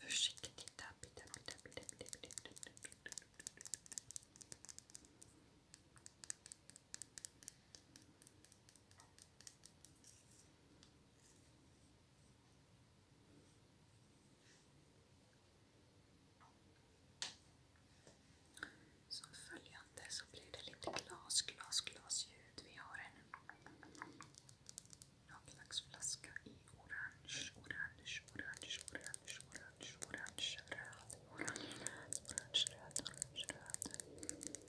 Försiktigt tapp, tapp, tapp, tapp, tapp, tapp, tapp, tapp. Som följande så blir det Notlax flaska i orange, orange, orange, orange, orange, orange, röd, orange, röd, orange, röd, orange, röd.